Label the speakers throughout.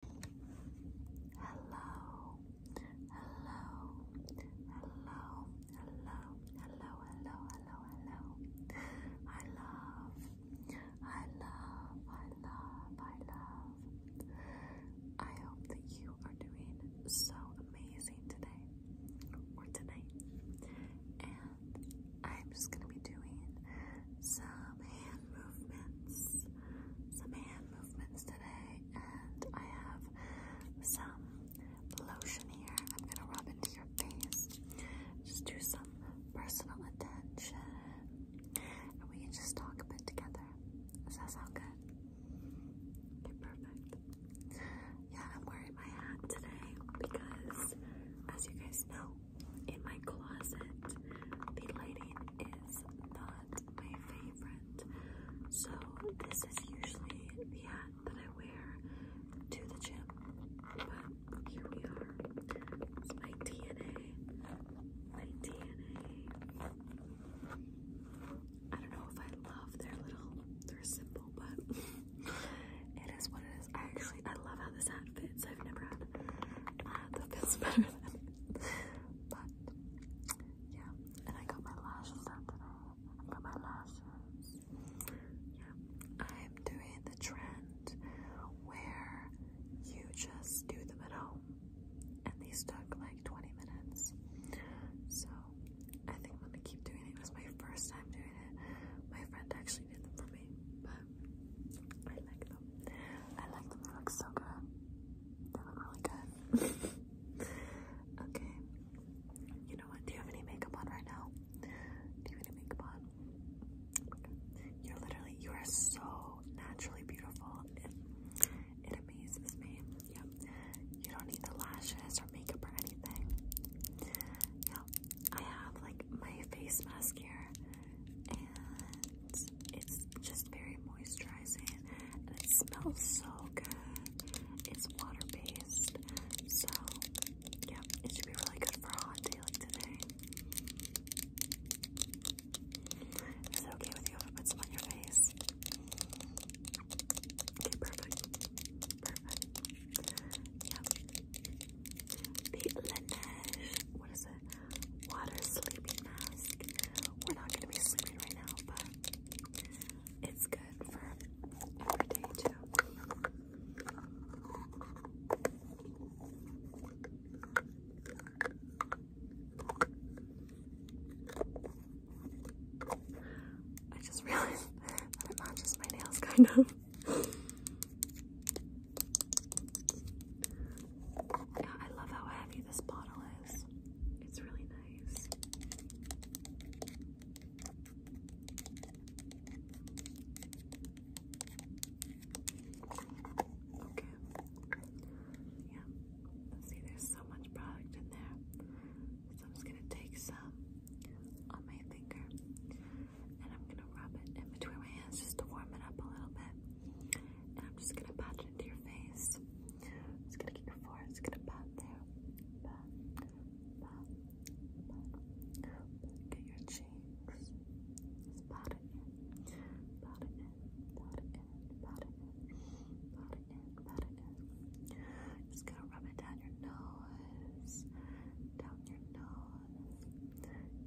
Speaker 1: Hello, hello, hello, hello, hello, hello, hello, hello. I love, I love, I love, I love. I hope that you are doing so amazing today or tonight. And I'm just gonna be doing some hand movements, some hand movements today, and I have some lotion here. I'm gonna rub into your face. Just do some personal attention, and we can just talk a bit together. Does that sound good? perfect. Yeah, I'm wearing my hat today because, as you guys know, in my closet. The lighting is not my favorite. So this is usually the hat that I wear to the gym. But here we are. It's my DNA. My DNA. I don't know if I love their little, their symbol, but it is what it is. actually, I love how this hat outfits I've never had. Uh, that feels better than it. But yeah, and I got my lashes done today. I'm doing the trend where you just do them at home, and these took like 20 minutes. So I think I'm gonna keep doing it. It was my first time doing it. My friend actually did them for me, but I like them. I like them. They look so good. They look really good. okay. You know what? Do you have any makeup on right now? Do you have any makeup on? You're literally, you are so naturally beautiful. It, it amazes me. Yeah. You don't need the lashes or makeup or anything. Yeah. I have like my face mask here, and it's just very moisturizing and it smells so good. It's water based. So yeah, it should be really good for a hot day like today. Is it okay with you if I put some on your face? Okay, perfect. Perfect. Yep. The Laneige, what is it? Water sleeping mask. We're not gonna be sleeping right now, but it's good for every day too. I just realized that it matches my nails kind of. I love how heavy this bottle is. It's really nice. Okay. Yeah. Let's see, there's so much product in there. So I'm just gonna take some on my finger and I'm gonna rub it in between my hands just to warm it up a little bit. And I'm just gonna pat it into your face. It's gonna get your forehead, it's gonna pat there. Pat, pat, pat. Get your cheeks. Just pat it in. Pat it in, pat it in, pat it in, pat it in, pat it in. Just gonna rub it down your nose, down your nose.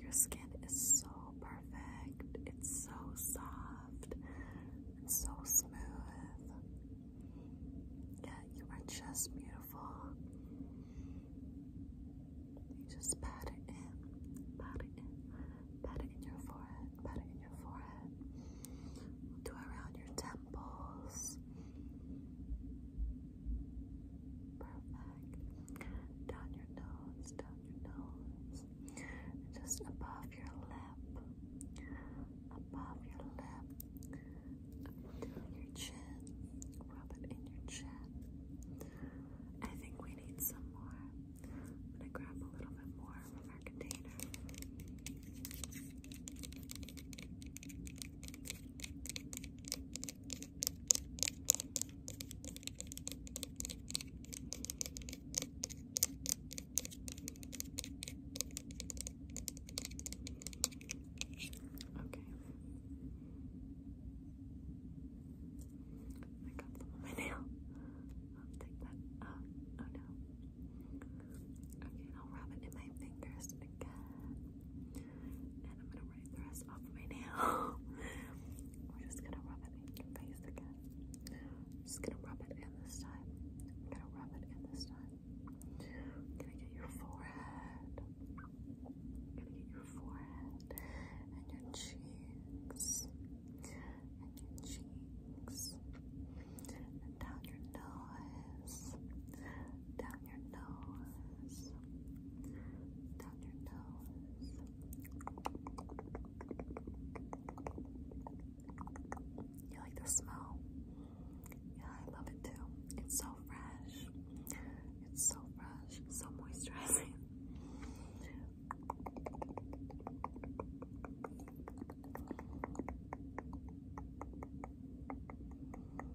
Speaker 1: Your skin is so perfect. It's so soft and so smooth. Yeah, you are just beautiful. just pat it in, pat it in, pat it in your forehead, pat it in your forehead. do around your temples. Perfect. Down your nose, down your nose. just above your lip. Above your lip. Down your chin. Rub it in your chin. I think we need some more. I'm gonna grab a little bit more from our container. I got some nail. I'll take that out. Oh, oh no. Okay, I'll rub it in my fingers. Uh, and I'm gonna wipe the rest off my nail. We're just gonna rub it in your face again. just gonna rub it in this time. gonna rub it in this time. gonna get your forehead. gonna get your forehead and your cheeks and your cheeks and down your nose, down your nose, down your nose. You like the smell? Yeah, I love it too. It's so fresh. It's so fresh, so moisturizing.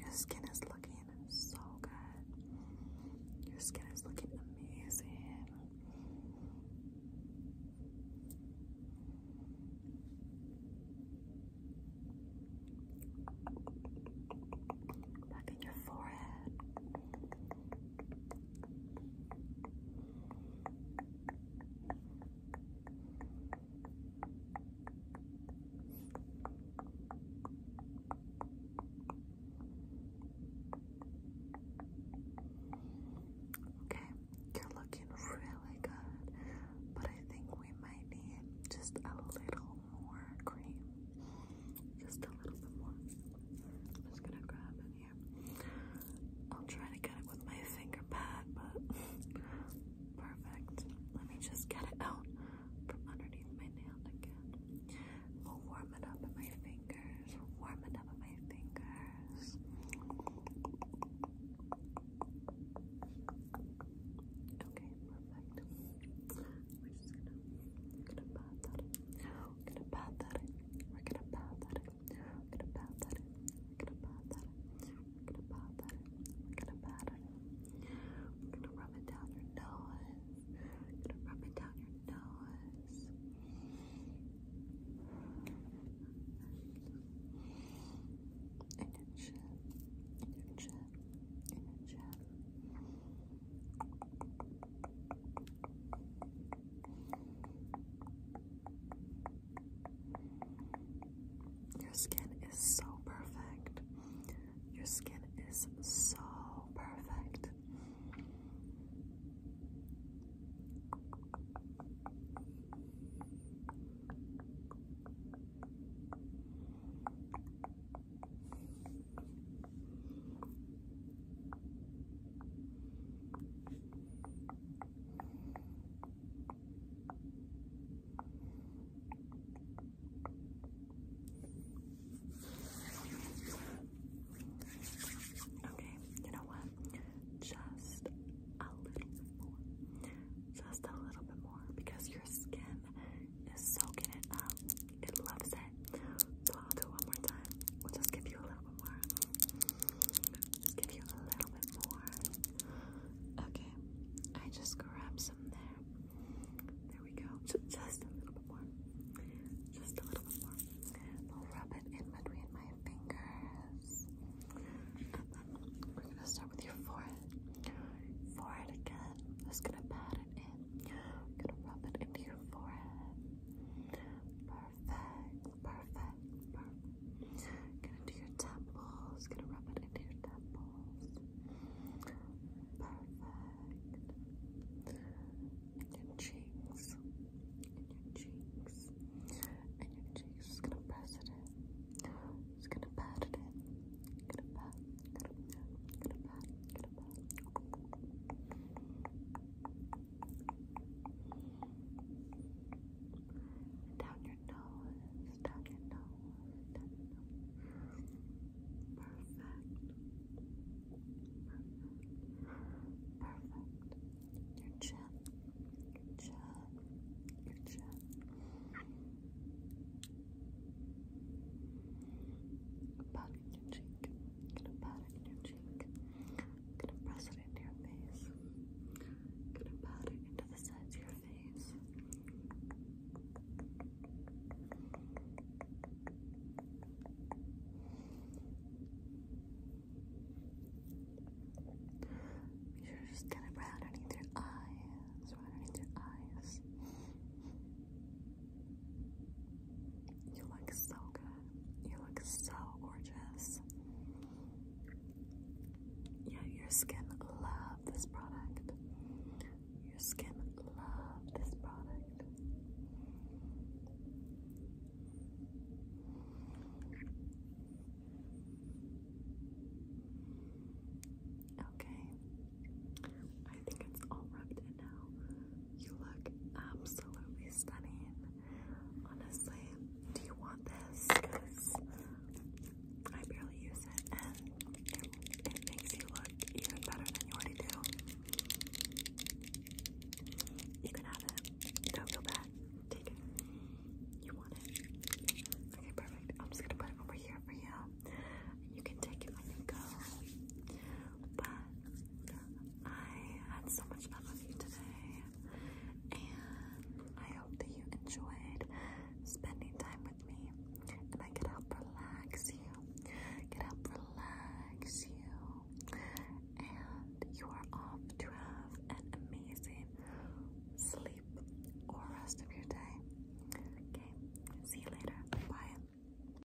Speaker 1: your skin is looking so good. Your skin is looking amazing. Back in your forehead. Okay, you're looking really good, but I think we might need just a little more cream. Just a little bit more. I'm just gonna grab any I'll try to get it with my finger pad, but perfect. Let me just get it out from underneath my nail again. We'll warm it up in my fingers. Warm it up in my fingers. Okay, perfect. We're just gonna, gonna pat that gonna pat that We're gonna pat that we're gonna pat that in. gonna pat that in. gonna pat that in. gonna pat it in. gonna rub it down your nose. gonna rub it down your nose. And your chin. And your chin. And your chin. Your skin is so perfect. Your skin is so perfect. Okay, you know what? Just a little more. Just a little bit more because your skin is soaking it up. It loves it. So I'll do one more time. We'll just give you a little bit more. Let's give you a little bit more. Okay, I just grabbed some there. There we go. Just a little bit more. Just a little bit more. I'll rub it in between my fingers. And then we're gonna start with your forehead. Forehead again. Just gonna pat it in. Gonna rub it into your forehead. Perfect. Perfect. Gonna do your temples. Gonna rub it into your temples. Perfect. And your cheeks. And your cheeks. And your cheeks. Just gonna press it in. Just gonna pat it in. Gonna pat. Gonna pat. Gonna pat. Gonna pat. Down your nose, down your nose, down your nose. Perfect. Perfect. Your chin, chin, your chin in your cheek. gonna pat it in your cheek. gonna press it into your face. gonna pat it into the sides of your face. Be sure to just it underneath your eyes, right underneath your eyes. You look so good. You look so gorgeous. Yeah, your skin loves this product. Your skin loves this product. Okay. I think it's all rubbed in right You look absolutely stunning. Honestly, do you want this? Because I barely use it and it makes you look even better than you already do. You can have it. Don't feel bad. Take it. You want it? Okay, perfect. I'm just gonna put it over here for you. You can take it when you go. But I had so much fun with you today, and I hope that you enjoyed spending time with me. And I can help relax you, can help relax you, and you are off to have an amazing sleep or rest of your day. Okay, see you later. Bye.